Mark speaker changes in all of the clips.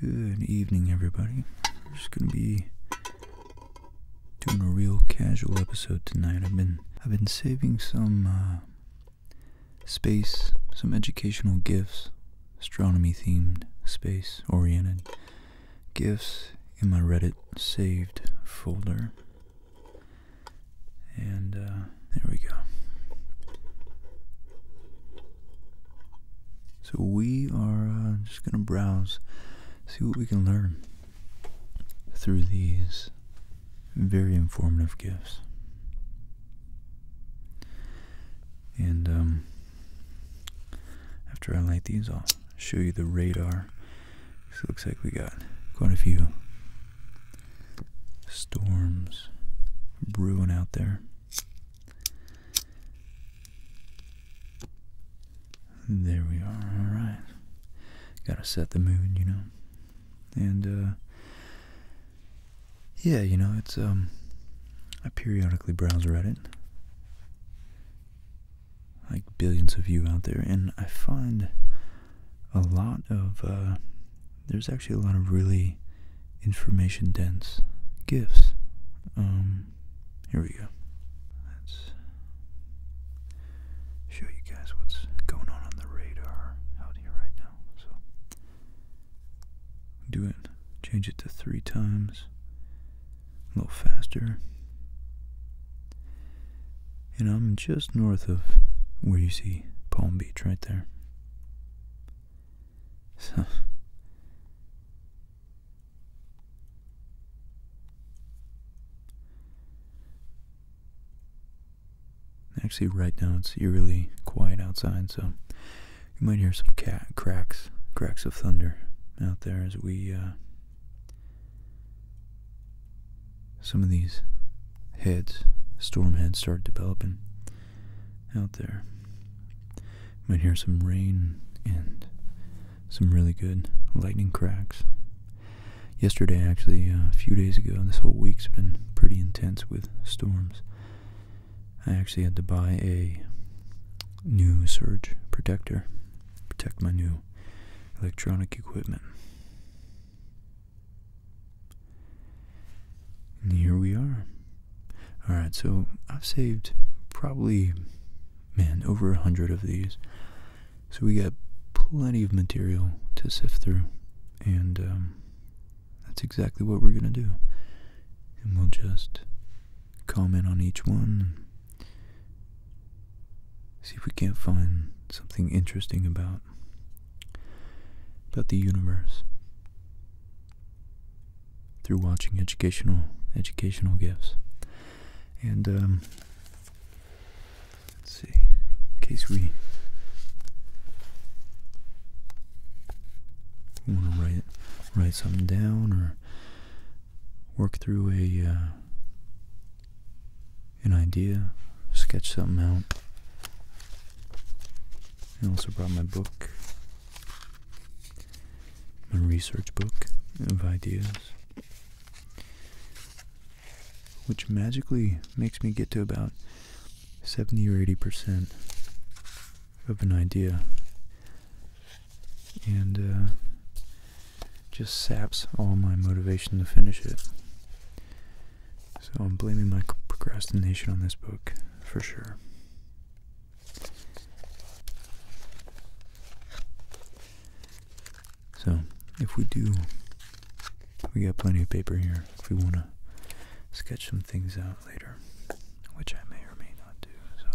Speaker 1: Good evening, everybody. We're just gonna be doing a real casual episode tonight. I've been I've been saving some uh, space, some educational gifts, astronomy themed, space oriented gifts in my Reddit saved folder. And uh, there we go. So we are uh, just going to browse, see what we can learn through these very informative gifts. And um, after I light these off, show you the radar. looks like we got quite a few storms brewing out there. There we are. All right. Gotta set the moon, you know. And uh, yeah, you know, it's um, I periodically browse Reddit like billions of you out there, and I find a lot of uh, there's actually a lot of really information dense gifts. Um, here we go. Let's show you guys what's going on on the radar out here right now. So do it. Change it to three times a little faster. And I'm just north of where you see Palm Beach right there. So. Actually, right now it's eerily quiet outside, so you might hear some cat cracks, cracks of thunder out there as we uh, some of these heads, storm heads, start developing out there. You might hear some rain and some really good lightning cracks. Yesterday, actually, uh, a few days ago, this whole week's been pretty intense with storms. I actually had to buy a new surge protector protect my new electronic equipment. here we are. Alright, so I've saved probably, man, over a hundred of these. So we got plenty of material to sift through, and um, that's exactly what we're going to do. And we'll just comment on each one See if we can't find something interesting about about the universe through watching educational educational gifts. And um, let's see, in case we want to write write something down or work through a uh, an idea, sketch something out. I also brought my book, my research book of ideas, which magically makes me get to about 70 or 80% of an idea. And uh, just saps all my motivation to finish it. So I'm blaming my procrastination on this book for sure. So, if we do, we got plenty of paper here if we want to sketch some things out later, which I may or may not do. So,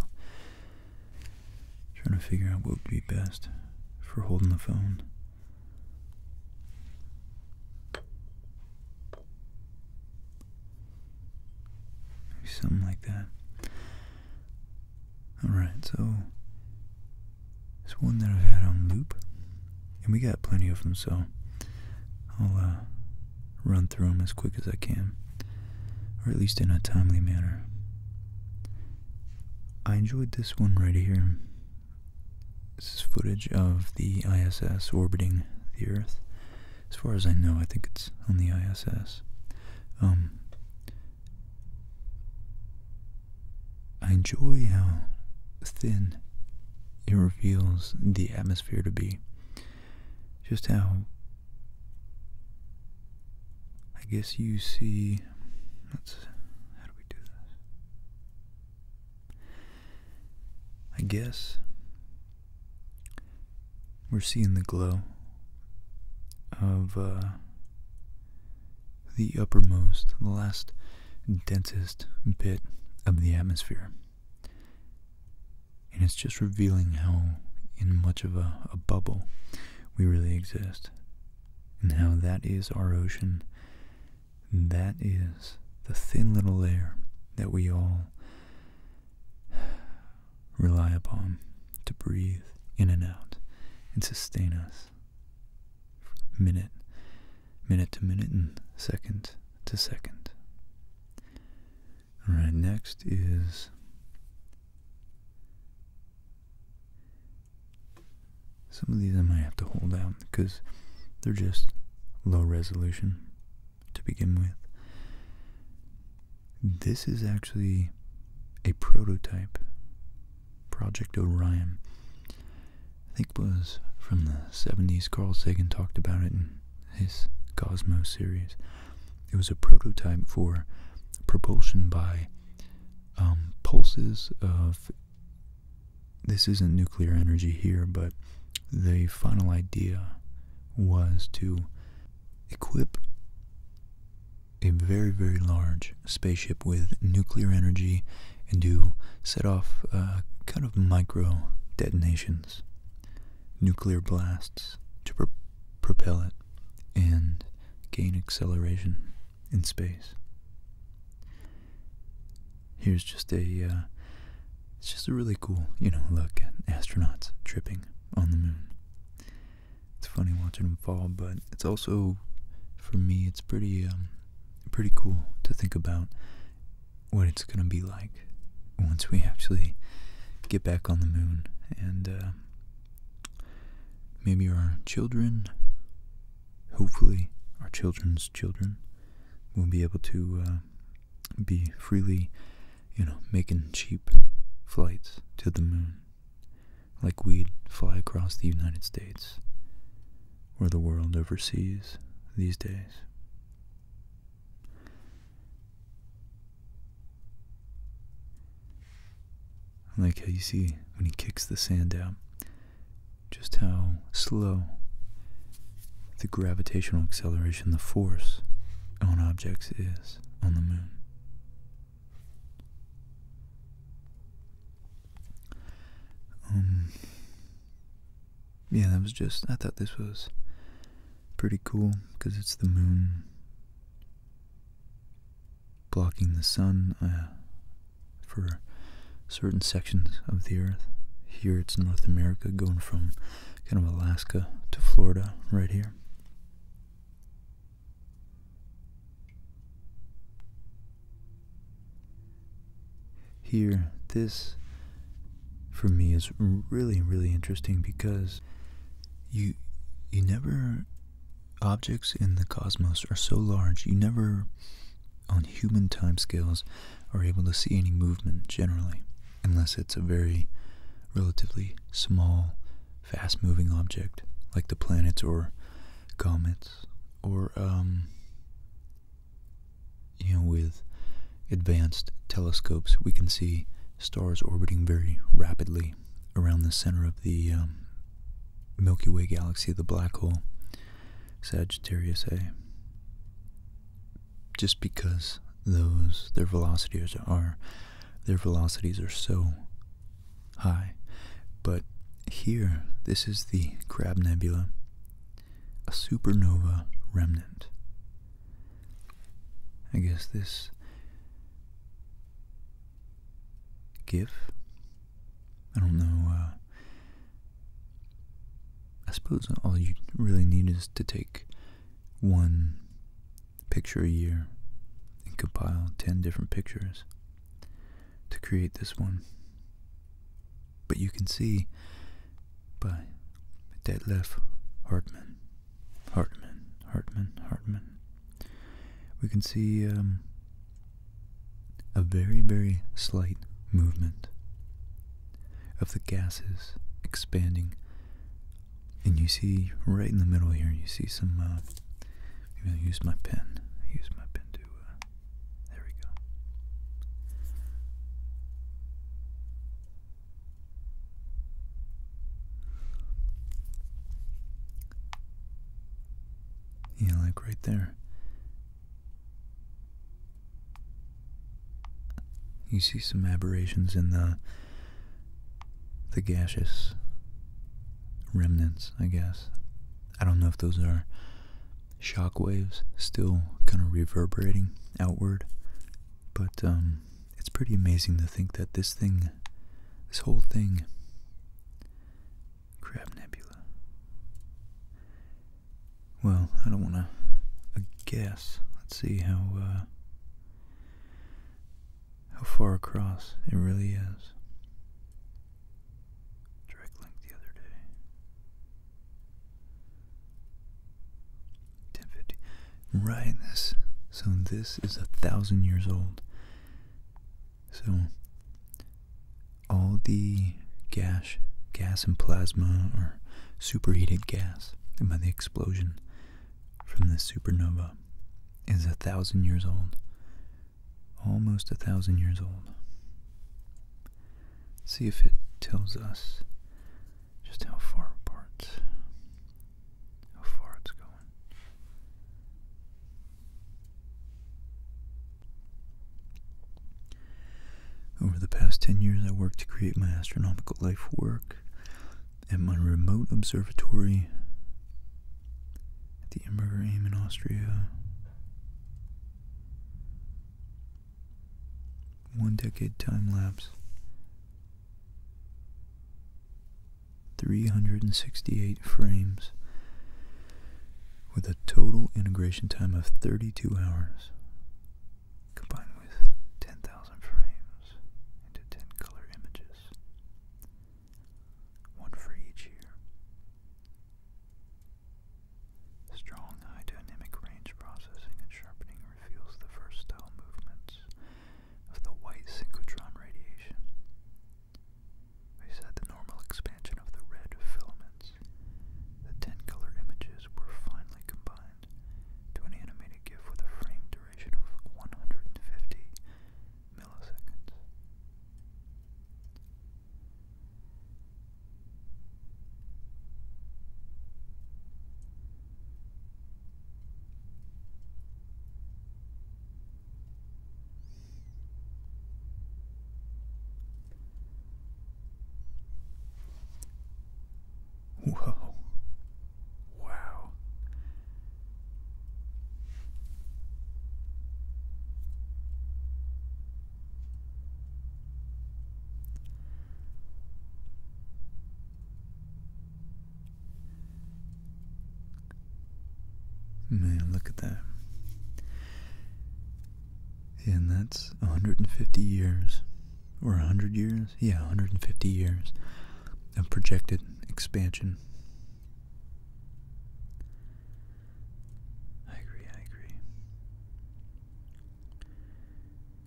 Speaker 1: Trying to figure out what would be best for holding the phone. something like that. Alright, so it's one that I've had on loop. And we got plenty of them, so I'll uh, run through them as quick as I can. Or at least in a timely manner. I enjoyed this one right here. This is footage of the ISS orbiting the Earth. As far as I know, I think it's on the ISS. Um, I enjoy how thin it reveals the atmosphere to be. Just how I guess you see. Let's. How do we do this? I guess we're seeing the glow of uh, the uppermost, the last densest bit of the atmosphere. And it's just revealing how, in much of a bubble, we really exist. And how that is our ocean. That is the thin little layer that we all rely upon to breathe in and out and sustain us minute, minute to minute and second to second. Alright, next is some of these I might have to hold out because they're just low resolution to begin with. This is actually a prototype. Project Orion. I think it was from the 70s. Carl Sagan talked about it in his Cosmos series. It was a prototype for propulsion by um, pulses of this isn't nuclear energy here, but the final idea was to equip a very, very large spaceship with nuclear energy and do set off a uh, kind of micro detonations, nuclear blasts to propel it and gain acceleration in space. Here's just a, uh, it's just a really cool, you know, look at astronauts tripping on the moon. It's funny watching them fall, but it's also, for me, it's pretty, um, pretty cool to think about what it's gonna be like once we actually get back on the moon and uh, maybe our children, hopefully our children's children, will be able to uh, be freely, you know, making cheap flights to the moon, like we'd fly across the United States or the world overseas these days like how you see when he kicks the sand out, just how slow the gravitational acceleration, the force on objects is on the moon. Um, yeah, that was just, I thought this was pretty cool because it's the moon blocking the sun uh, for certain sections of the earth. Here it's North America going from kind of Alaska to Florida right here. Here, this for me is really, really interesting because you you never objects in the cosmos are so large you never, on human timescales, are able to see any movement generally, unless it's a very relatively small, fast moving object like the planets or comets or, um, you know, with advanced telescopes, we can see stars orbiting very rapidly around the center of the um, Milky Way galaxy, the black hole, Sagittarius A. Just because those their velocities are their velocities are so high. But here, this is the Crab Nebula, a supernova remnant. I guess this give. I don't know. Uh, I suppose all you really need is to take one picture a year and compile 10 different pictures to create this one. But you can see by Detlef Hartman, Hartman, Hartman, Hartman, we can see um, a very, very slight movement of the gases expanding. And you see right in the middle here, you see some. I'm uh, use my pen. Use my pen to. Uh, there we go. Yeah, like right there. You see some aberrations in the the gaseous remnants, I guess. I don't know if those are shock waves still kind of reverberating outward, but um, it's pretty amazing to think that this thing, this whole thing, Crab Nebula. Well, I don't want to guess. Let's see how uh, how far across it really is. Direct link the other day. Ten fifty. Right. This. So this is a thousand years old. So all the gas, gas and plasma, or superheated gas, and the explosion from this supernova, is a thousand years old, almost a thousand years old. see if it tells us just how far apart, how far it's going. Over the past 10 years, I worked to create my astronomical life work at my remote observatory at the Imberger Aim in Austria. One decade time lapse. 368 frames with a total integration time of 32 hours combined with 10,000 frames into 10 color images, one for each year. Strong dynamic range processing and sharpening reveals the versatile movements of the white synchrotron radiation, I said the normal expansion of the red filaments. The ten color images were finally combined to an animated GIF with a frame duration of 150 milliseconds. Whoa. Wow. Man, look at that. And that's 150 years, or 100 years? Yeah, 150 years of projected expansion. I agree, I agree.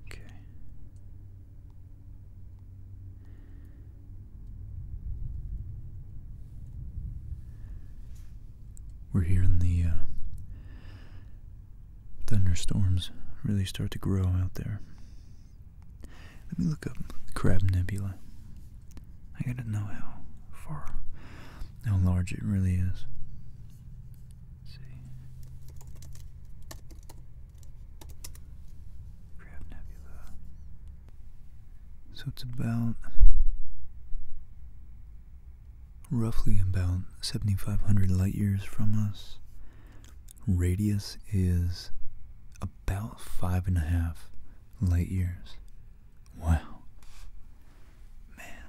Speaker 1: Okay we're hearing the uh, thunderstorms really start to grow out there. Let me look up Crab Nebula. I gotta know how far, how large it really is. Let's see, Crab Nebula. So it's about roughly about 7,500 light years from us. Radius is about five and a half light years. Wow. Man.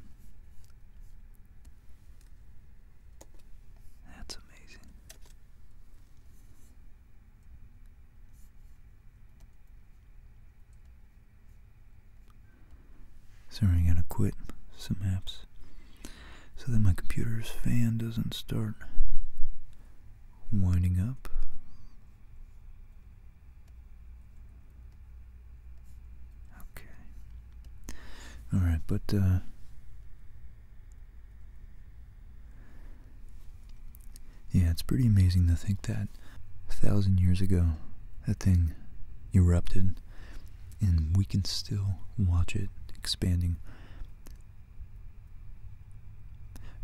Speaker 1: That's amazing. Sorry, I gotta quit some apps so that my computer's fan doesn't start winding up. Okay. Alright, but, uh, yeah, it's pretty amazing to think that a thousand years ago, that thing erupted, and we can still watch it expanding.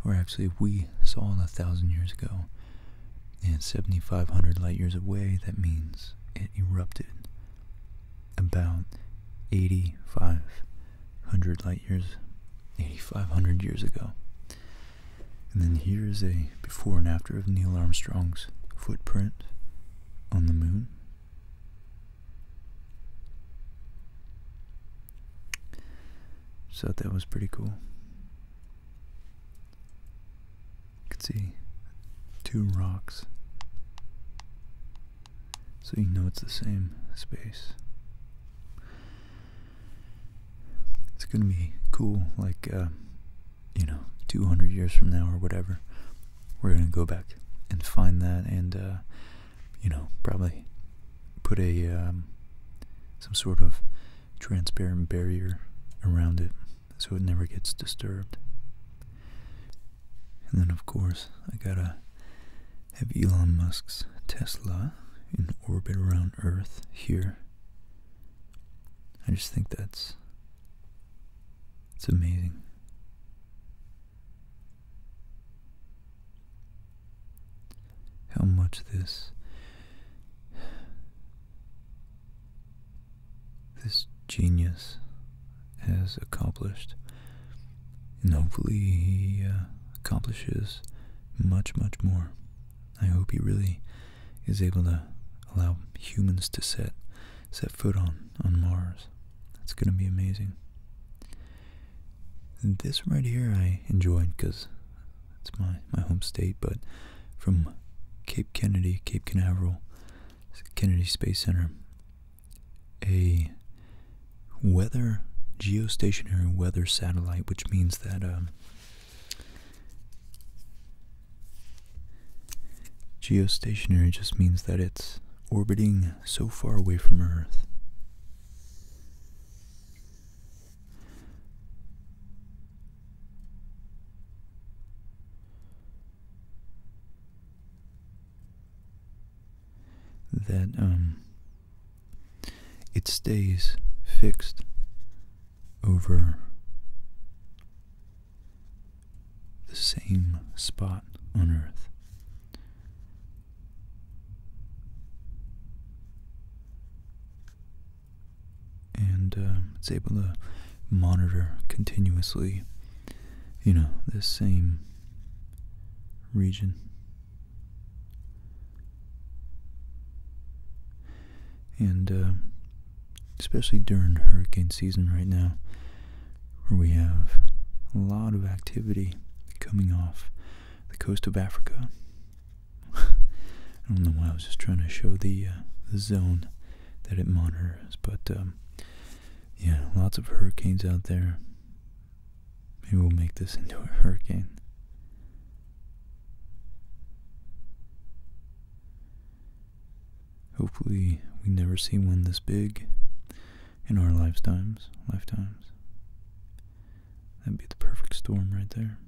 Speaker 1: Or actually, we saw it a thousand years ago, and 7,500 light years away, that means it erupted about 8,500 light years, 8,500 years ago. And then here is a before and after of Neil Armstrong's footprint on the moon. So that was pretty cool. You can see two rocks. So you know it's the same space. It's gonna be cool, like, uh, you know, 200 years from now or whatever. We're gonna go back and find that and, uh, you know, probably put a, um, some sort of transparent barrier around it so it never gets disturbed. And then, of course, I gotta have Elon Musk's Tesla in orbit around Earth here I just think that's it's amazing. How much this this genius has accomplished, and hopefully he uh, accomplishes much, much more. I hope he really is able to allow humans to set set foot on on Mars. That's going to be amazing. this right here I enjoyed because it's my my home state, but from Cape Kennedy, Cape Canaveral, Kennedy Space Center, a weather geostationary weather satellite, which means that um, Geostationary just means that it's orbiting so far away from Earth. That um, it stays fixed over the same spot on Earth. And um, it's able to monitor continuously, you know, this same region and uh, especially during hurricane season right now, where we have a lot of activity coming off the coast of Africa. I don't know why I was just trying to show the, uh, zone that it monitors, but um, yeah, lots of hurricanes out there. Maybe we'll make this into a hurricane. Hopefully, we never see one this big in our lifetimes. Lifetimes. That'd be the perfect storm right there.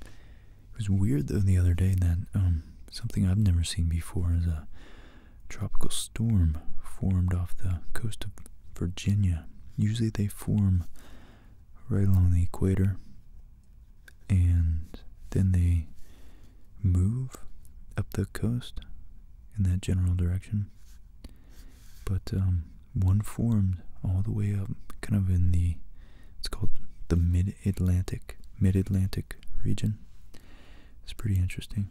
Speaker 1: It was weird though the other day that um, something I've never seen before is a tropical storm formed off the coast of Virginia. Usually they form right along the equator and then they move up the coast in that general direction. But um, one formed all the way up, kind of in the, it's called the mid-Atlantic, mid-Atlantic region. It's pretty interesting.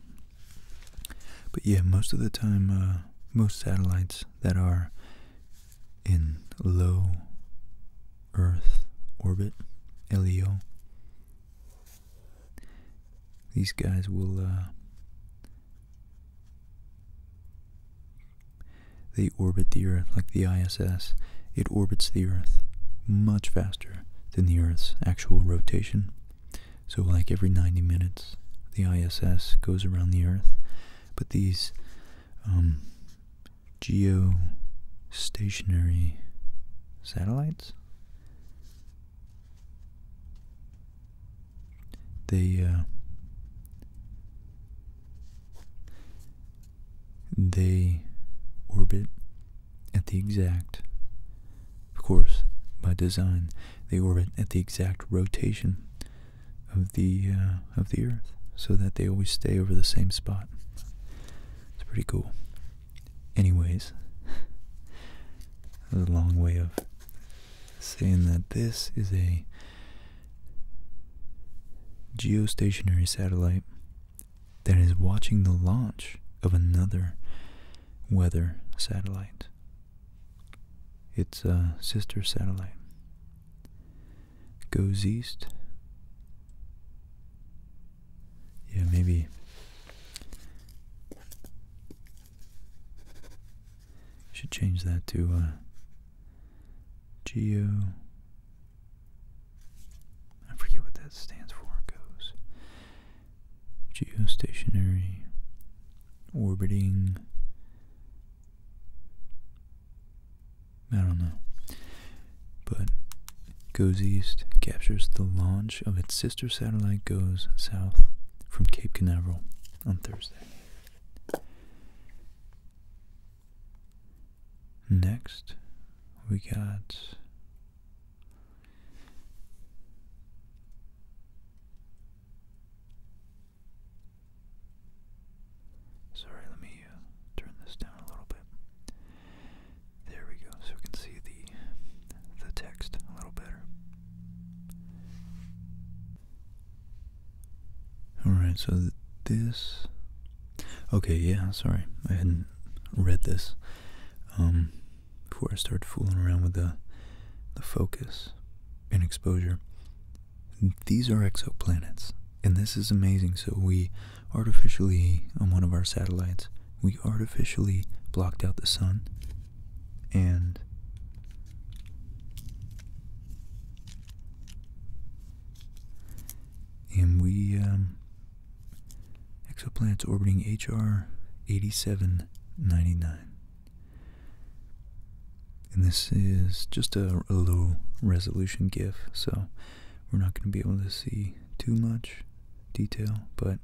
Speaker 1: But yeah, most of the time, uh, most satellites that are in low Earth orbit, LEO. These guys will, uh, they orbit the Earth like the ISS. It orbits the Earth much faster than the Earth's actual rotation. So, like every 90 minutes, the ISS goes around the Earth. But these um, geostationary satellites. They uh, they orbit at the exact, of course, by design. They orbit at the exact rotation of the uh, of the earth so that they always stay over the same spot. It's pretty cool. Anyways, there's a long way of saying that this is a geostationary satellite that is watching the launch of another weather satellite. It's a sister satellite goes east. Yeah, maybe should change that to uh, geo. I forget what that stands for. Goes geostationary orbiting I don't know. But Goes East captures the launch of its sister satellite Goes South from Cape Canaveral on Thursday. Next, we got Sorry, let me turn this down a little bit. There we go, so we can see the the text a little better. Alright, so this... Okay, yeah, sorry. I hadn't read this um, before I started fooling around with the, the focus and exposure. These are exoplanets, and this is amazing. So we artificially on one of our satellites we artificially blocked out the sun and and we um, exoplanets orbiting hr 8799 and this is just a, a low resolution gif so we're not going to be able to see too much detail, but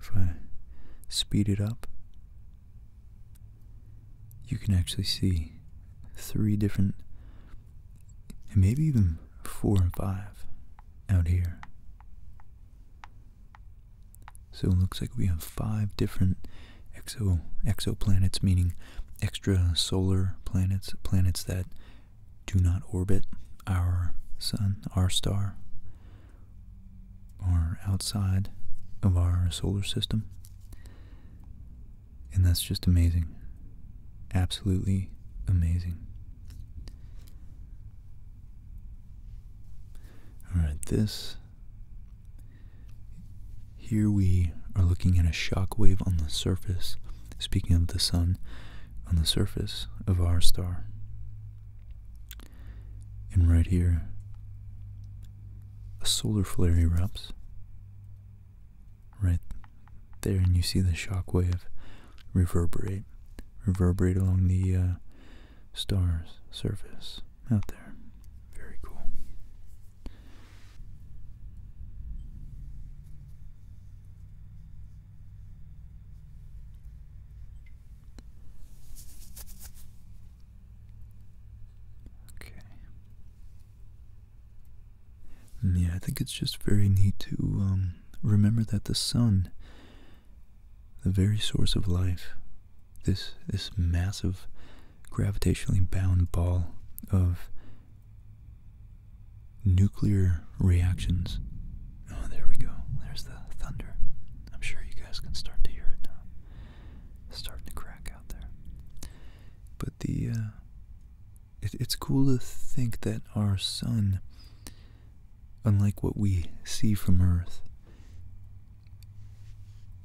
Speaker 1: if I speed it up, you can actually see three different, and maybe even four and five out here. So it looks like we have five different exo exoplanets meaning extra solar planets, planets that do not orbit our sun, our star, are outside of our solar system. And that's just amazing. Absolutely amazing. Alright, this here we are looking at a shock wave on the surface, speaking of the sun, on the surface of our star. And right here, a solar flare erupts. Right there, and you see the shock wave reverberate, reverberate along the uh, star's surface out there. Very cool. Okay. Yeah, I think it's just very neat to um, remember that the sun, the very source of life, this this massive gravitationally bound ball of Nuclear reactions. Oh, there we go. There's the thunder. I'm sure you guys can start to hear it now. Uh, starting to crack out there. But the uh, it's cool to think that our sun, unlike what we see from Earth,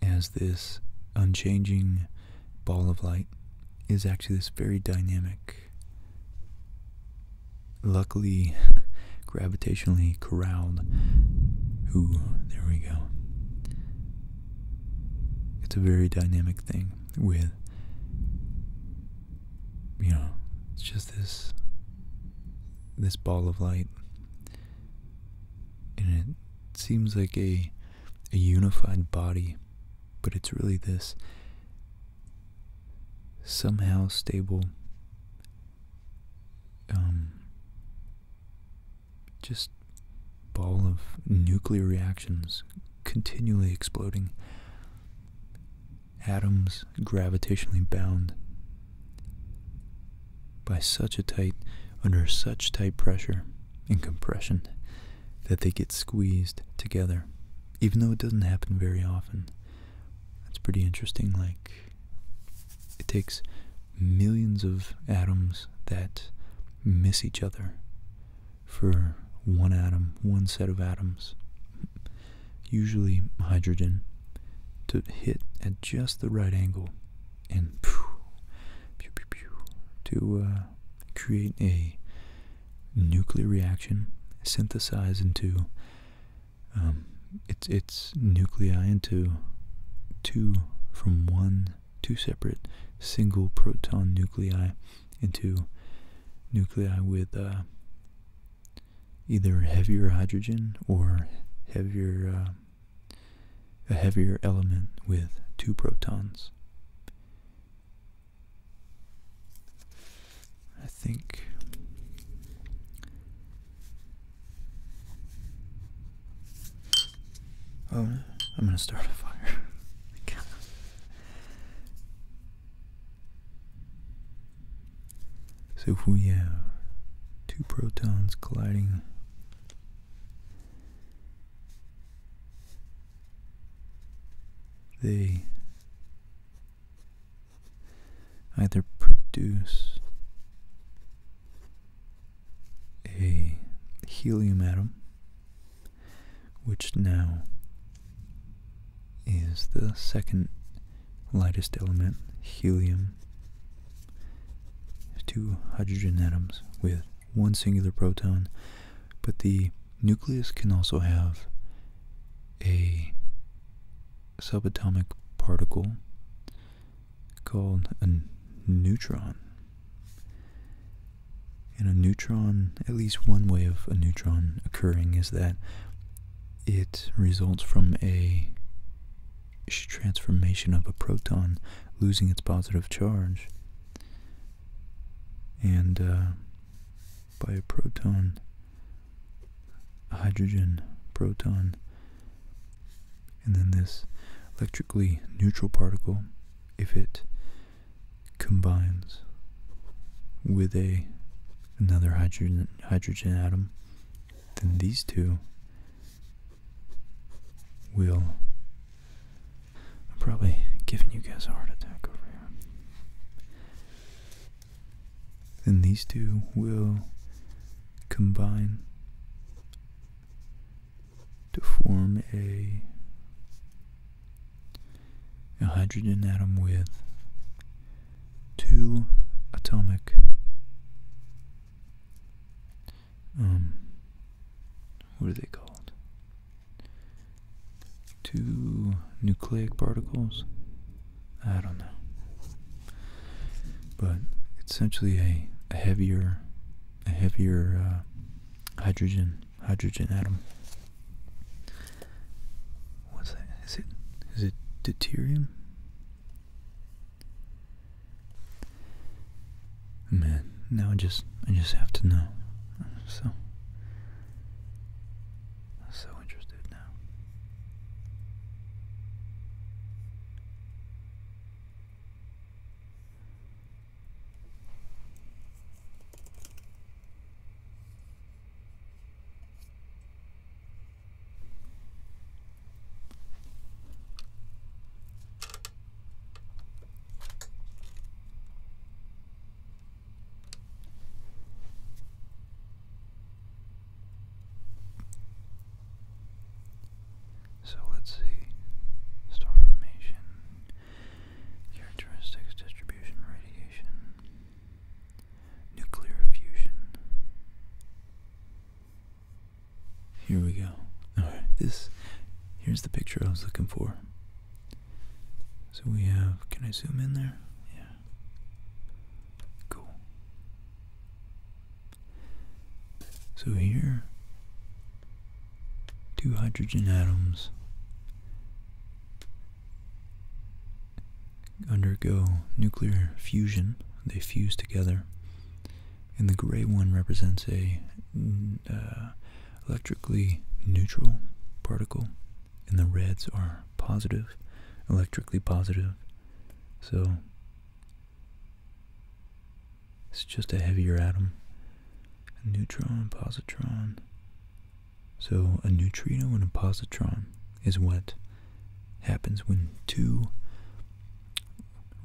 Speaker 1: as this unchanging ball of light is actually this very dynamic, luckily gravitationally corralled. Ooh, there we go. It's a very dynamic thing with, you know, it's just this this ball of light and it seems like a a unified body, but it's really this somehow stable, um, just ball of nuclear reactions continually exploding, atoms gravitationally bound by such a tight, under such tight pressure and compression that they get squeezed together, even though it doesn't happen very often. it's pretty interesting. Like, it takes millions of atoms that miss each other for one atom, one set of atoms, usually hydrogen, to hit at just the right angle and pew, pew, pew, pew, to uh, create a nuclear reaction, synthesize into um, its its nuclei into two from one two separate single proton nuclei into nuclei with uh, either heavier hydrogen or heavier uh, a heavier element with two protons I think Oh, I'm going to start a fire. so if we have two protons colliding they either produce a helium atom, which now is the second lightest element, helium, two hydrogen atoms with one singular proton, but the nucleus can also have a subatomic particle called a neutron. And a neutron, at least one way of a neutron occurring is that it results from a transformation of a proton losing its positive charge and uh, by a proton, hydrogen proton, and then this electrically neutral particle, if it combines with a another hydrogen hydrogen atom, then these two will I'm probably giving you guys a heart attack over here. And these two will combine to form a, a hydrogen atom with two atomic um what are they called Two nucleic particles? I don't know. But essentially a, heavier a heavier uh, hydrogen hydrogen atom. What's that? Is it is it deuterium? Man, now I just I just have to know. so so interested now. So let's see. Star formation, characteristics, distribution, radiation, nuclear fusion. Here we go. Alright, this here's the picture I was looking for. So we have, can I zoom in there? Yeah. Cool. So here, two hydrogen atoms undergo nuclear fusion. They fuse together. And the gray one represents a uh, electrically neutral particle, and the reds are positive, electrically positive. So it's just a heavier atom. neutron, positron. So a neutrino and a positron is what happens when two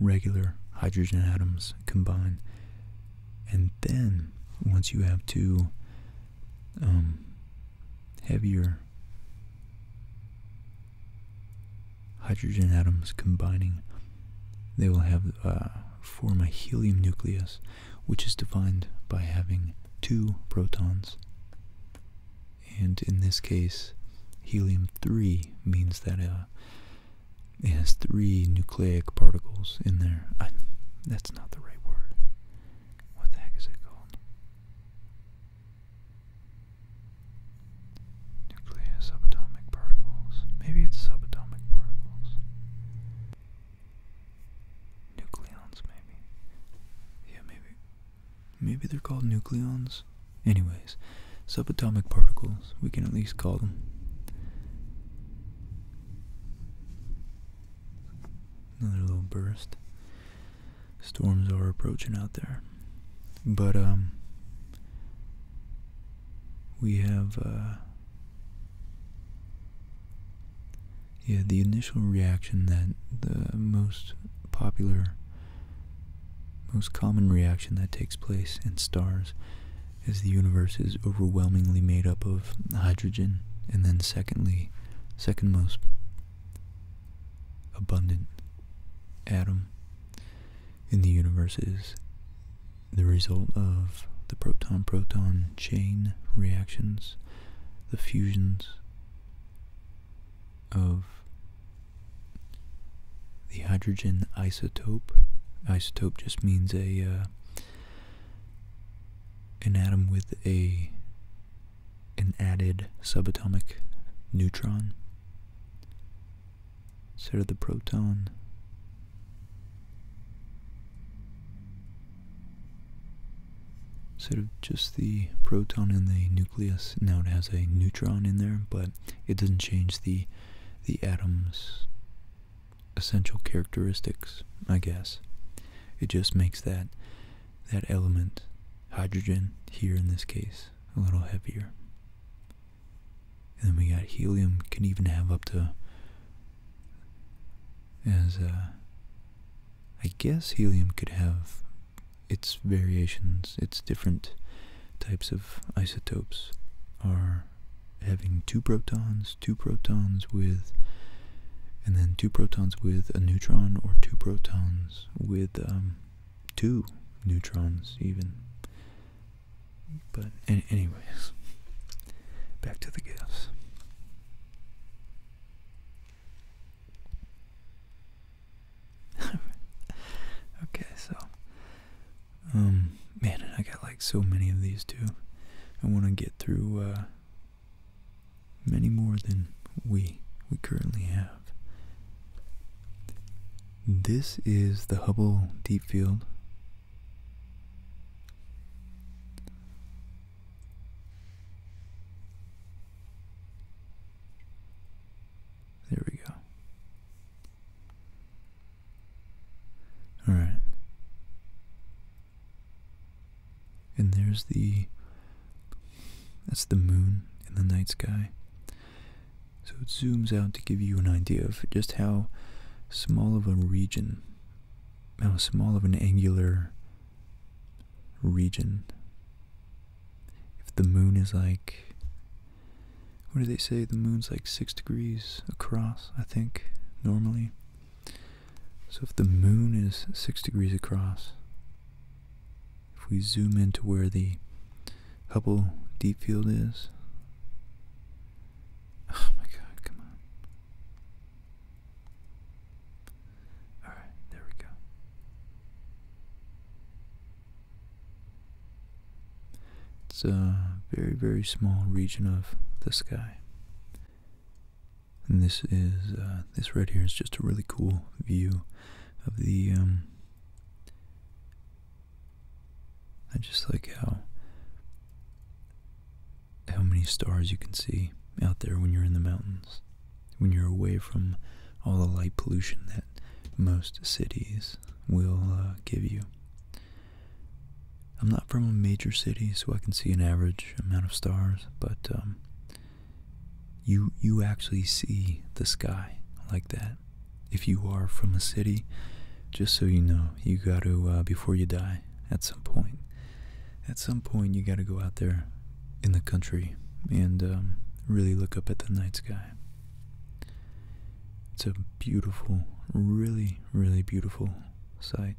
Speaker 1: regular hydrogen atoms combine and then, once you have two um, heavier hydrogen atoms combining, they will have uh, form a helium nucleus, which is defined by having two protons. And in this case, helium-3 means that uh, it has three nucleic particles in there. I, not the right word. What the heck is it called? Nuclei subatomic particles. Maybe it's subatomic particles. Nucleons, maybe. Yeah, maybe. Maybe they're called nucleons. Anyways, subatomic particles, we can at least call them. Another little burst. Storms are approaching out there. But, um, we have, uh, yeah, the initial reaction that the most popular, most common reaction that takes place in stars as the universe is overwhelmingly made up of hydrogen, and then secondly, second most abundant atom in the universe is the result of the proton-proton chain reactions, the fusions of the hydrogen isotope. Isotope just means a uh, an atom with a an added subatomic neutron instead of the proton. Instead of just the proton in the nucleus, now it has a neutron in there, but it doesn't change the the atoms essential characteristics, I guess. It just makes that that element, hydrogen here in this case, a little heavier. And then we got helium can even have up to as uh, I guess helium could have its variations, its different types of isotopes are having two protons, two protons with, and then two protons with a neutron, or two protons with um, two neutrons, even. But, anyways, back to the gifts. okay, so, um, man, I got like so many of these too. I want to get through, uh, many more than we we currently have. This is the Hubble Deep Field. There we go. All right. And there's the that's the moon in the night sky. So it zooms out to give you an idea of just how small of a region, how small of an angular region. If the moon is like, what do they say? The moon's like six degrees across, I think, normally. So if the moon is 6 degrees across, if we zoom in to where the Hubble deep field is, oh my god, come on. Alright, there we go. It's a very, very small region of the sky. And this is uh, this right here is just a really cool view of the. Um, I just like how how many stars you can see out there when you're in the mountains, when you're away from all the light pollution that most cities will uh, give you. I'm not from a major city, so I can see an average amount of stars, but um, you you actually see the sky like that. If you are from a city, just so you know, you got to uh, before you die at some point. At some point, you got to go out there in the country and um, really look up at the night sky. It's a beautiful, really, really beautiful sight.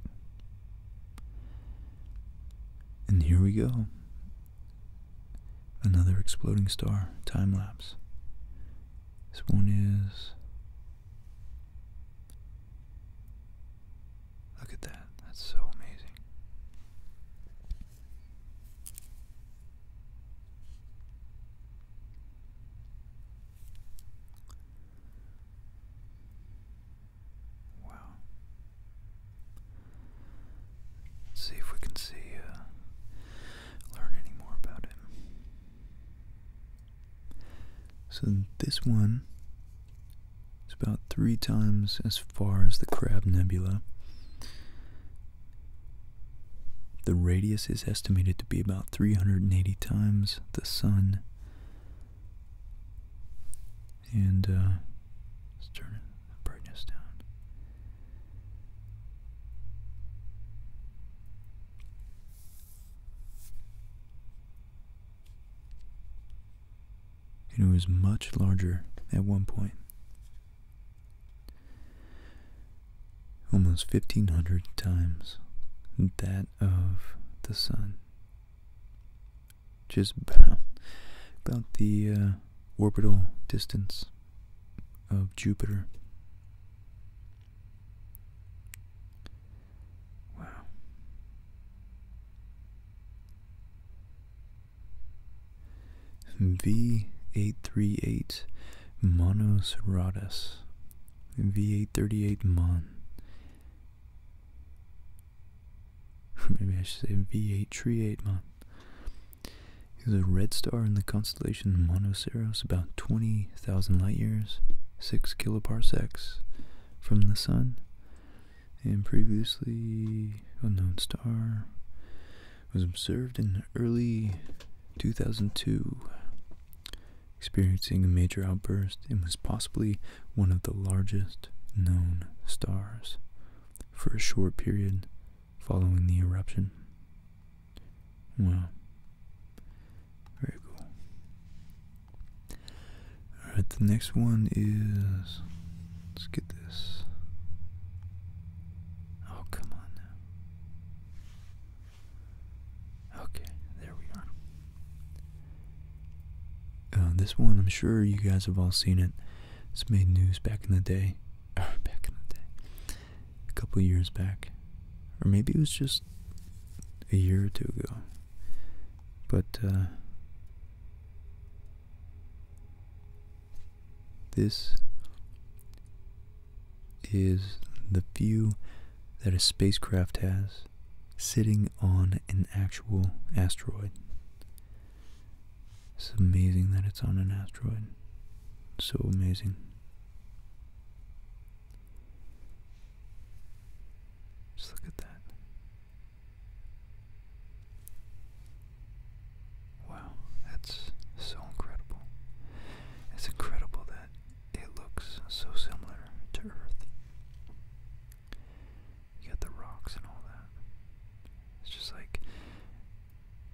Speaker 1: And here we go. Another exploding star time lapse. This one is. Look at that. That's so amazing. Wow. see if we can see, uh, learn any more about him. So this one is about three times as far as the Crab Nebula. The radius is estimated to be about 380 times the Sun. And uh, let's turn the brightness down. it was much larger at one point. Almost 1500 times that of the sun just about, about the uh, orbital distance of Jupiter. Wow. V838 Monos Radus. V838 Mon. Maybe I should say v 838 Mon. Month. a red star in the constellation Monoceros, about 20,000 light years, 6 kiloparsecs from the Sun. And previously unknown star was observed in early 2002, experiencing a major outburst and was possibly one of the largest known stars for a short period following the eruption. Wow. Very cool. Alright, the next one is. Let's get this. Oh, come on Okay, there we are. Uh, this one, I'm sure you guys have all seen it. It's made news back in the day. back in the day. A couple years back. Or maybe it was just a year or two ago. But, uh, this is the view that a spacecraft has sitting on an actual asteroid. It's amazing that it's on an asteroid. So amazing. Just look at that. Wow, that's so incredible. It's incredible that it looks so similar to Earth. You got the rocks and all that. It's just like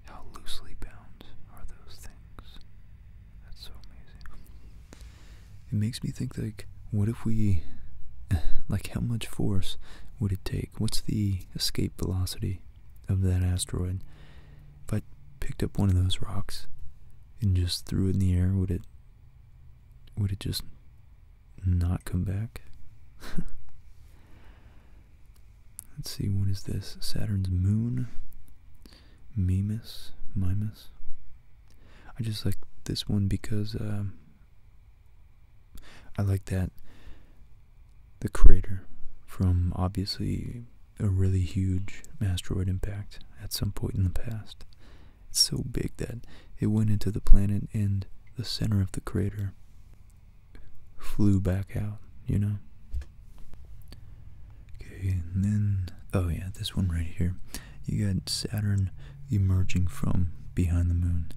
Speaker 1: how loosely bound are those things? That's so amazing. It makes me think like what if we like how much force would it take? What's the escape velocity of that asteroid? If I picked up one of those rocks and just threw it in the air, would it would it just not come back? Let's see, what is this? Saturn's moon? Mimas? Mimas? I just like this one because um, I like that the crater from obviously a really huge asteroid impact at some point in the past so big that it went into the planet and the center of the crater flew back out, you know? Okay, and then, oh yeah, this one right here. You got Saturn emerging from behind the moon.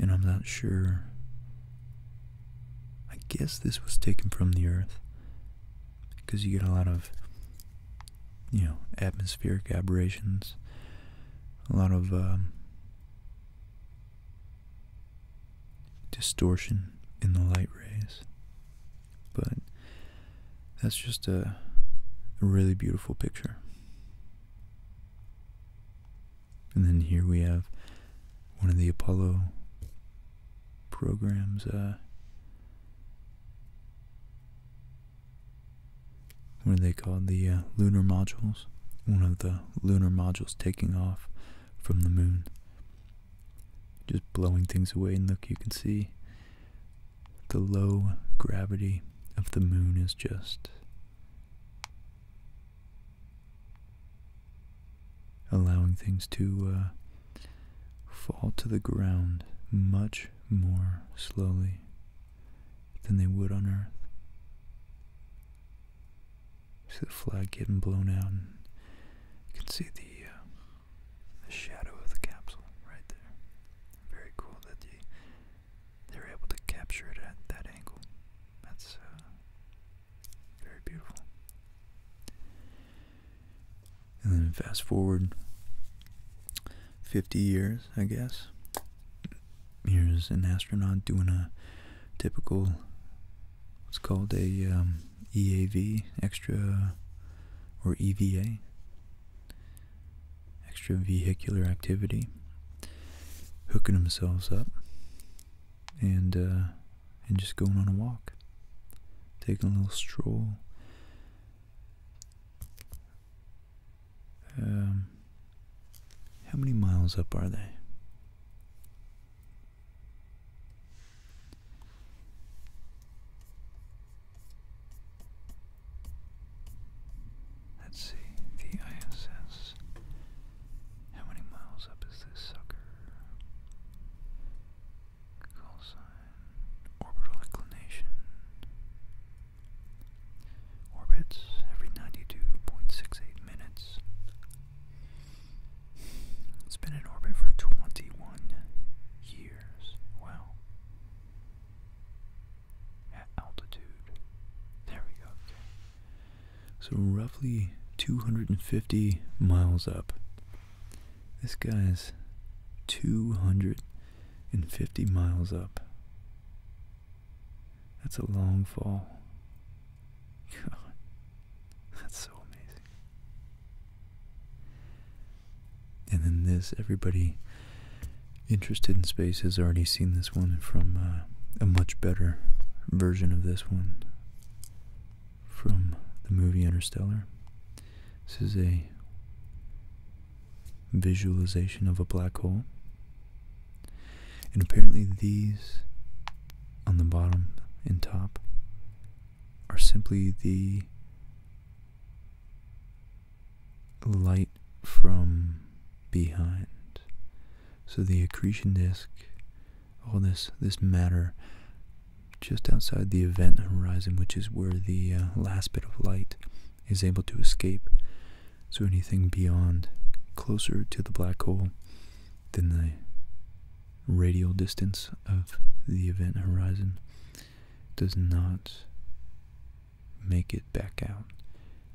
Speaker 1: And I'm not sure. I guess this was taken from the Earth. Because you get a lot of you know, atmospheric aberrations, a lot of um, distortion in the light rays. But that's just a, really beautiful picture. And then here we have one of the Apollo programs. Uh, what do they called? The uh, lunar modules. One of the lunar modules taking off from the moon. Just blowing things away, and look, you can see the low gravity of the moon is just allowing things to uh, fall to the ground much more slowly than they would on Earth. See the flag getting blown out, and you can see the, uh, shadow of the capsule right there. Very cool that they, they were able to capture it at that angle. That's uh, very beautiful. And then fast forward 50 years, I guess, Here's an astronaut doing a typical, what's called a um, EAV, extra or EVA, extra vehicular activity, hooking themselves up and uh, and just going on a walk, taking a little stroll. Um, how many miles up are they? Let's see, the ISS. How many miles up is this sucker? Call sign, orbital inclination. Orbits every 92.68 minutes. It's been in orbit for 21 years. Wow. At altitude. There we go. So, roughly 250 miles up. This guy's 250 miles up. That's a long fall. that's so amazing. And then this, everybody interested in space has already seen this one from uh, a much better version of this one from the movie Interstellar. This is a visualization of a black hole. And apparently, these on the bottom and top are simply the light from behind. So the accretion disk, all this this matter just outside the event horizon, which is where the uh, last bit of light is able to escape, so anything beyond, closer to the black hole than the radial distance of the event horizon, does not make it back out,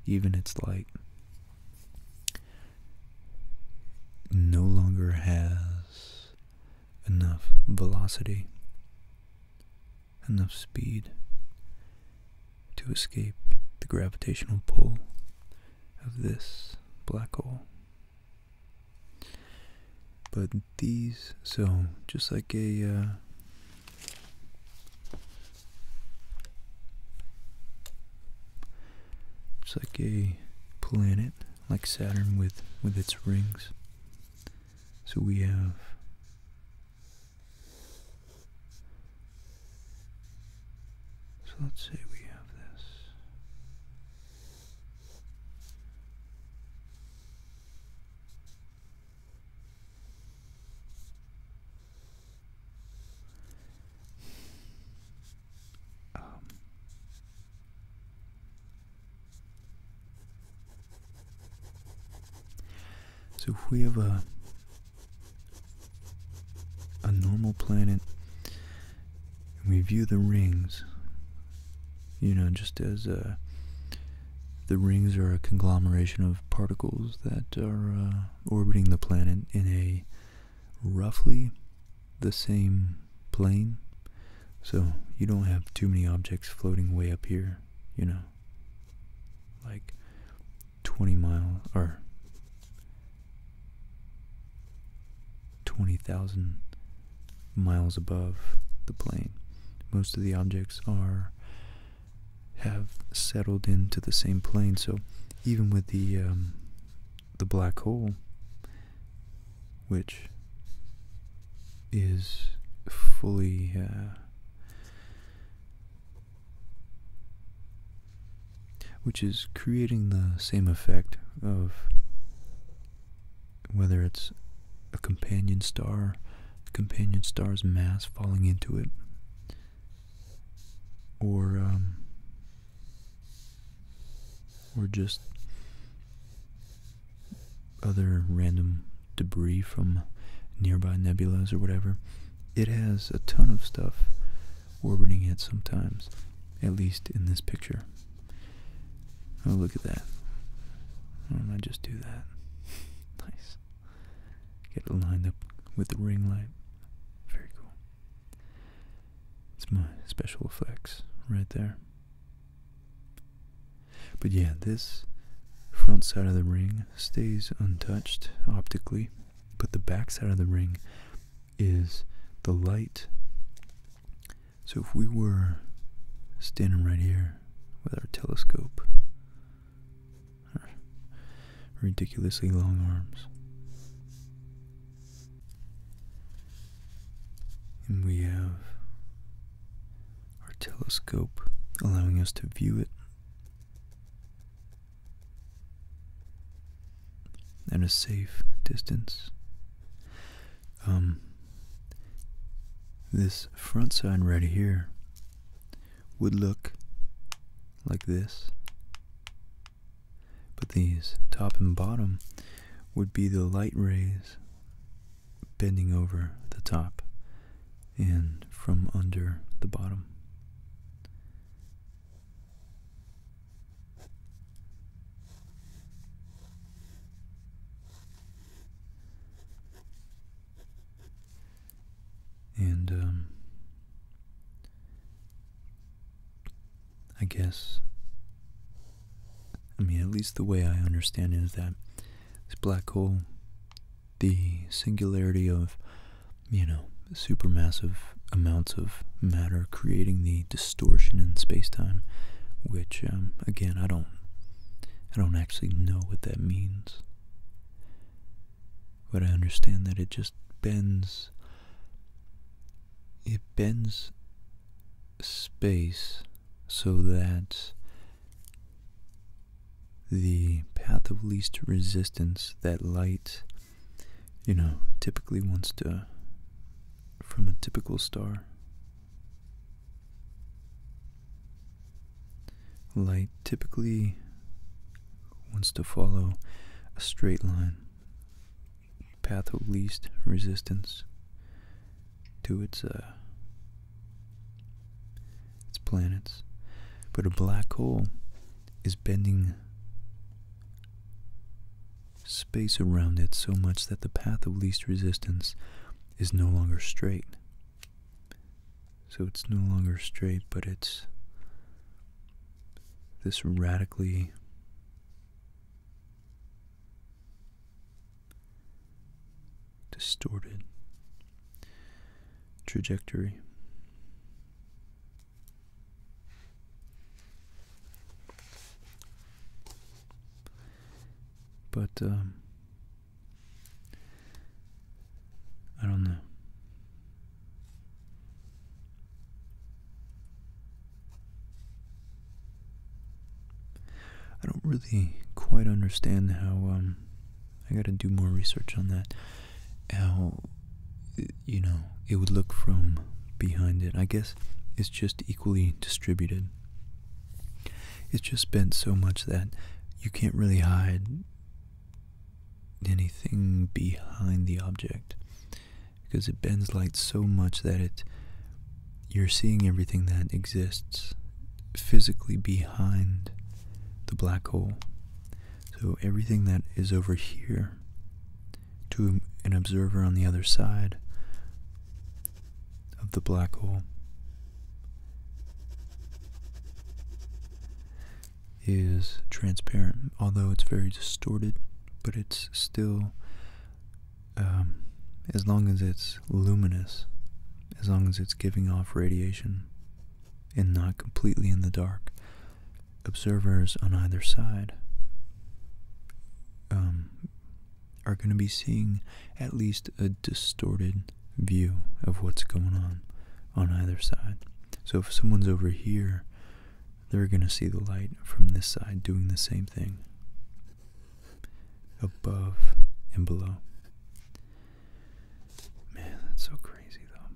Speaker 1: even its light no longer has enough velocity enough speed to escape the gravitational pull of this black hole. But these, so just like a uh, just like a planet, like Saturn with with its rings. So we have so let's say we have this. Um, so we have a a normal planet we view the rings you know just as uh, the rings are a conglomeration of particles that are uh, orbiting the planet in a roughly the same plane so you don't have too many objects floating way up here you know like 20 miles or 20,000 miles above the plane. Most of the objects are have settled into the same plane, so even with the um, the black hole, which is fully uh, which is creating the same effect of whether it's a companion star, companion star's mass falling into it, or um, or just other random debris from nearby nebulae or whatever it has a ton of stuff orbiting it sometimes, at least in this picture. Oh, look at that. Why don't I just do that? nice. Get it lined up with the ring light. Very cool. It's my special effects right there. But yeah, this front side of the ring stays untouched optically but the back side of the ring is the light. So if we were standing right here with our telescope, our ridiculously long arms, and we have our telescope allowing us to view it and a safe distance. Um, this front side right here would look like this, but these top and bottom would be the light rays bending over the top and from under the bottom. And um, I guess, I mean, at least the way I understand it is that this black hole the singularity of, you know, supermassive amounts of matter creating the distortion in space-time, which, um, again, I don't, I don't actually know what that means. But I understand that it just bends, it bends space so that the path of least resistance that light, you know, typically wants to, from a typical star. Light typically wants to follow a straight line, path of least resistance to its uh, its planets. But a black hole is bending space around it so much that the path of least resistance is no longer straight. So it's no longer straight, but it's this radically distorted trajectory. But, um, I don't know. I don't really quite understand how um, I got to do more research on that how you know it would look from behind it. I guess it's just equally distributed. It's just bent so much that you can't really hide anything behind the object because it bends light so much that it you're seeing everything that exists physically behind the black hole so everything that is over here to an observer on the other side of the black hole is transparent, although it's very distorted, but it's still, um, as long as it's luminous, as long as it's giving off radiation and not completely in the dark, observers on either side um, are going to be seeing at least a distorted view of what's going on on either side. So if someone's over here, they're going to see the light from this side doing the same thing above and below. Man, that's so crazy though.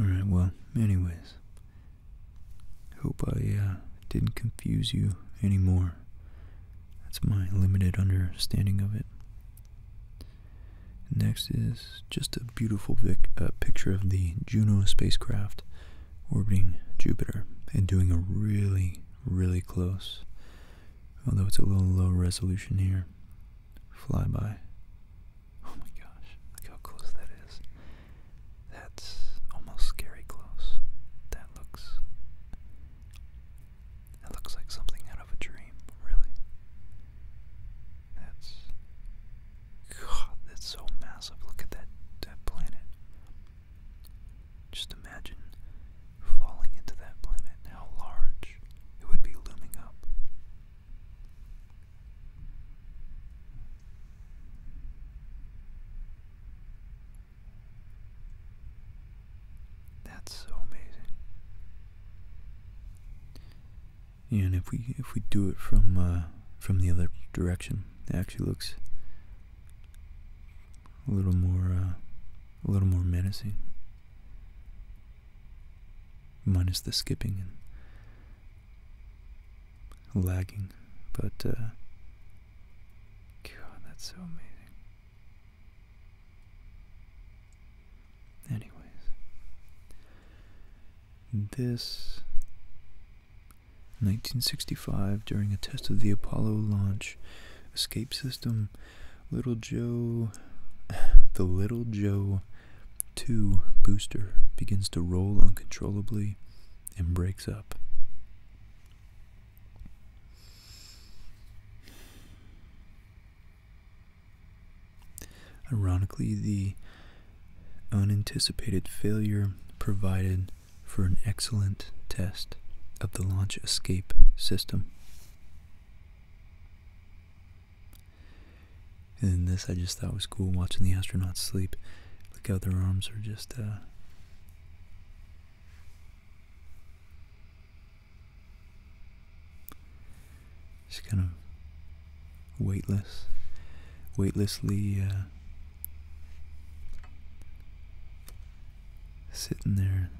Speaker 1: Alright, well, anyways. Hope I uh, didn't confuse you anymore. That's my limited understanding of it. Next is just a beautiful pic uh, picture of the Juno spacecraft orbiting Jupiter and doing a really, really close, although it's a little low resolution here, flyby. Oh my gosh, look how close that is. That's almost scary close. That looks it looks like something out of a dream, really. That's. God, that's so massive. Look at that, that planet. Just imagine falling into that planet, how large it would be looming up. That's so amazing. And if we if we do it from uh, from the other direction, it actually looks a little more uh, a little more menacing. Minus the skipping and lagging, but uh, God, that's so amazing. Anyways, this 1965, during a test of the Apollo launch escape system, Little Joe, the Little Joe 2 booster begins to roll uncontrollably and breaks up. Ironically, the unanticipated failure provided for an excellent test of the launch escape system. And this I just thought was cool watching the astronauts sleep. Look how their arms are just uh, just kind of weightless, weightlessly uh, sitting there,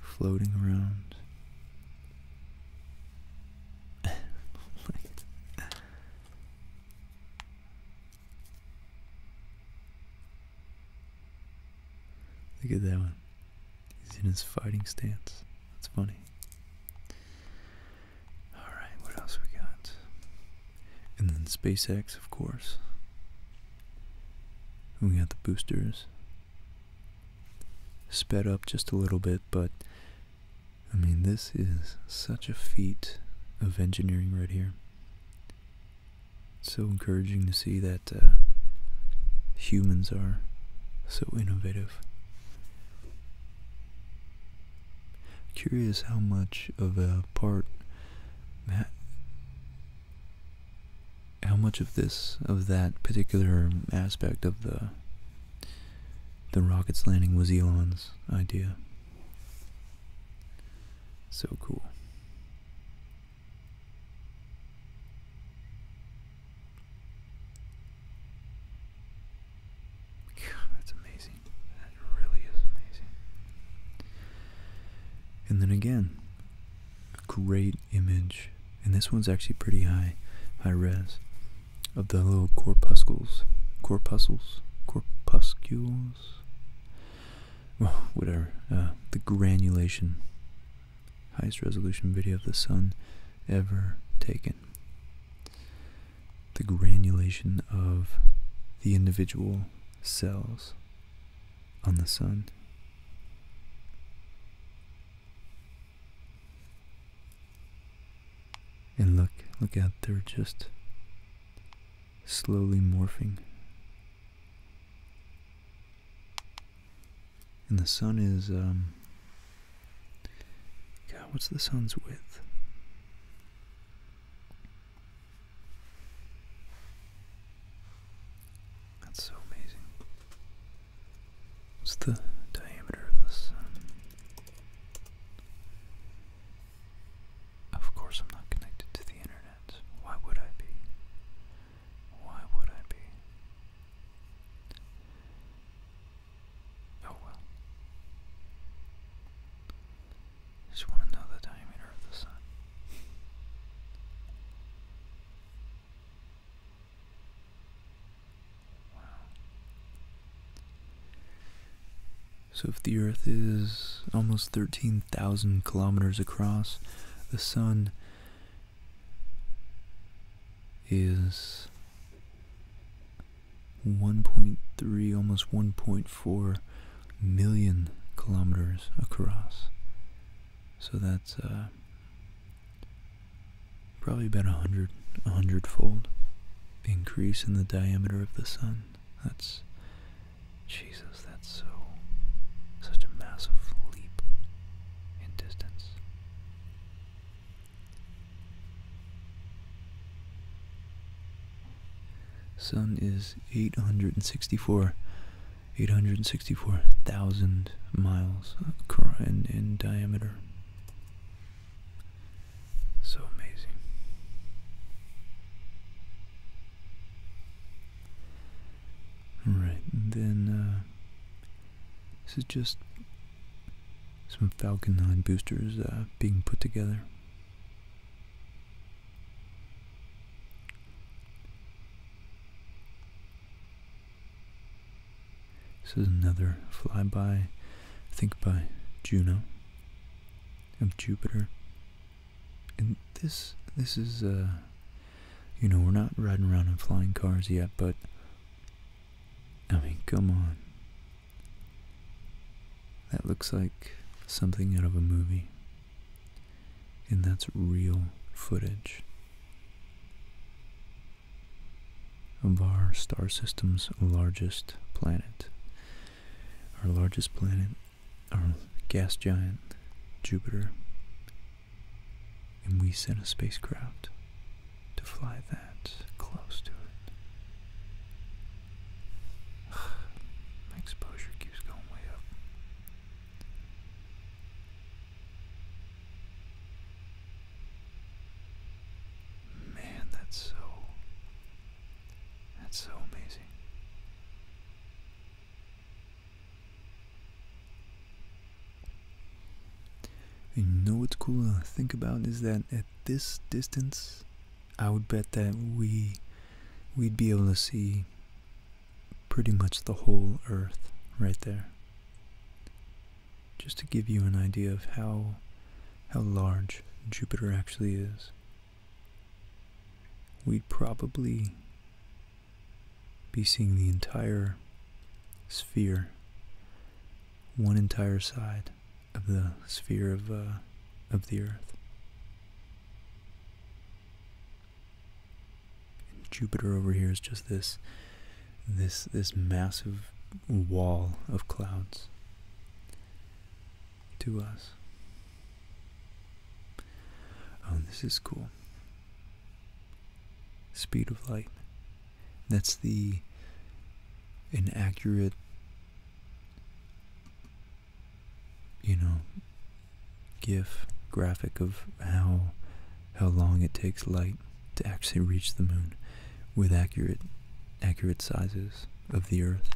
Speaker 1: floating around. Look at that one. He's in his fighting stance. That's funny. Alright, what else we got? And then SpaceX, of course. We got the boosters. Sped up just a little bit, but I mean, this is such a feat of engineering right here. It's so encouraging to see that uh, humans are so innovative. Curious how much of a part, how much of this, of that particular aspect of the the rocket's landing was Elon's idea. So cool. God, that's amazing. That really is amazing. And then again, great image. And this one's actually pretty high, high res, of the little corpuscles, corpuscles, corpuscles well, whatever, uh, the granulation, highest resolution video of the sun ever taken. The granulation of the individual cells on the sun. And look, look out, they're just slowly morphing and the sun is, um, God, what's the sun's width? That's so amazing. What's the diameter of the sun? Of course, I'm not connected to the internet. Why would I be? Why would I be? Oh well. Just want to know the diameter of the sun. wow. So if the Earth is almost 13,000 kilometers across, the sun is 1.3, almost 1.4 million kilometers across. So that's uh, probably about a hundred, a hundredfold increase in the diameter of the sun. That's Jesus, that's so such a massive leap in distance. Sun is 864 864,000 miles in, diameter. So amazing. Alright, and then uh, this is just some Falcon 9 boosters uh, being put together. This is another flyby, I think by Juno of Jupiter. And this this is uh, you know, we're not riding around in flying cars yet, but I mean, come on. That looks like something out of a movie. And that's real footage of our star system's largest planet. Our largest planet our gas giant Jupiter, and we sent a spacecraft to fly that close to it. My exposure keeps going way up. Man, that's so. That's so amazing. You know what's cool to think about is that at this distance, I would bet that we we'd be able to see pretty much the whole Earth right there. Just to give you an idea of how how large Jupiter actually is. We'd probably be seeing the entire sphere, one entire side of the sphere of, uh, of the Earth. Jupiter over here is just this, this, this massive wall of clouds to us. Oh, this is cool. Speed of light. That's the inaccurate, you know, GIF graphic of how how long it takes light to actually reach the moon with accurate accurate sizes of the earth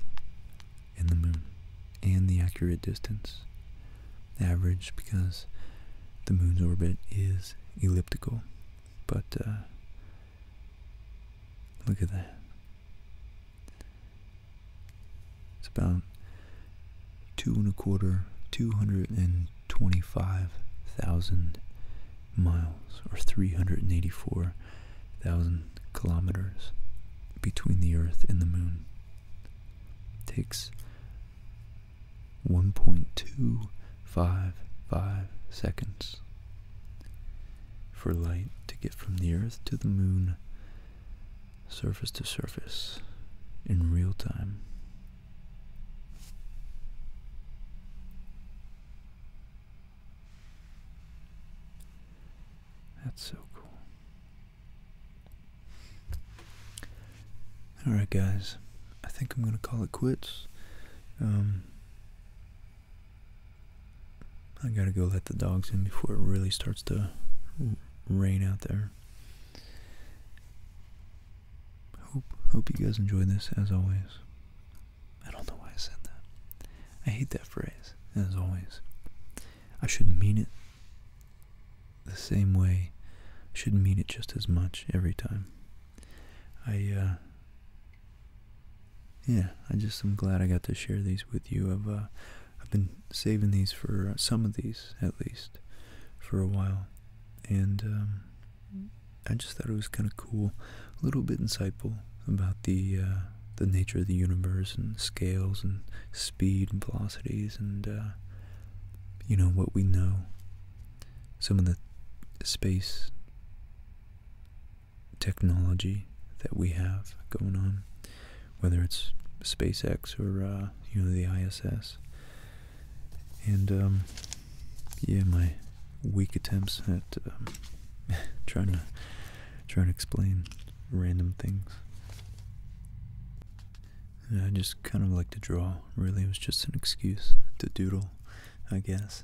Speaker 1: and the moon and the accurate distance average because the moon's orbit is elliptical. But uh, look at that. It's about two and a quarter, 225,000 miles or 384,000 kilometers between the Earth and the moon takes 1.255 seconds for light to get from the Earth to the Moon, surface to surface, in real time. That's so cool. Alright, guys, I think I'm gonna call it quits. Um, I gotta go let the dogs in before it really starts to rain out there. Hope you guys enjoy this as always. I don't know why I said that. I hate that phrase as always. I should mean it the same way. I should mean it just as much every time. I, uh, yeah, I just am glad I got to share these with you. I've, uh, I've been saving these for uh, some of these at least for a while, and um, I just thought it was kind of cool, a little bit insightful about the the nature of the universe and scales and speed and velocities and you know, what we know, some of the space technology that we have going on, whether it's SpaceX or, uh, you know, the ISS. And, um, yeah, my weak attempts at um, trying to trying to explain random things. I just kind of like to draw. Really, it was just an excuse to doodle, I guess.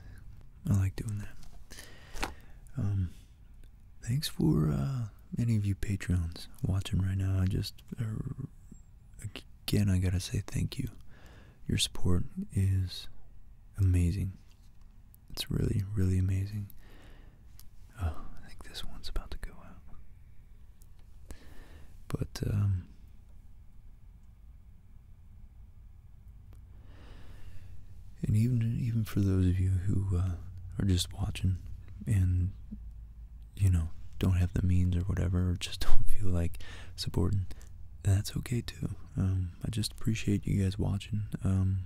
Speaker 1: I like doing that. Um, thanks for uh, any of you patrons watching right now. I just, uh, again, I gotta say thank you. Your support is amazing. It's really, really amazing. Oh, I think this one's about to go out. But um, and even even for those of you who uh, are just watching and you know don't have the means or whatever, or just don't feel like supporting, that's okay too. Um, I just appreciate you guys watching. Um,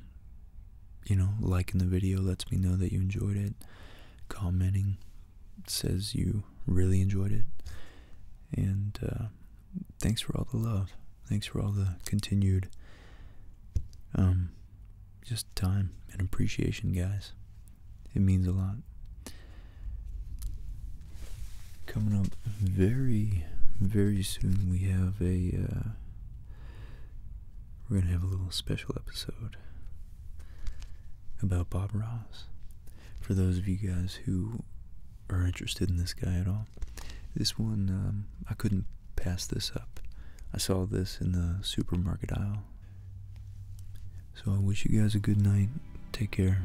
Speaker 1: you know, liking the video lets me know that you enjoyed it, commenting, says you really enjoyed it. And uh, thanks for all the love. Thanks for all the continued um, just time and appreciation, guys. It means a lot. Coming up very, very soon, we have a. Uh, we're gonna have a little special episode about Bob Ross. For those of you guys who are interested in this guy at all, this one um, I couldn't pass this up. I saw this in the supermarket aisle. So I wish you guys a good night. Take care,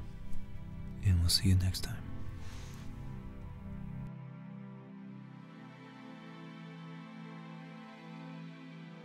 Speaker 1: and we'll see you next time.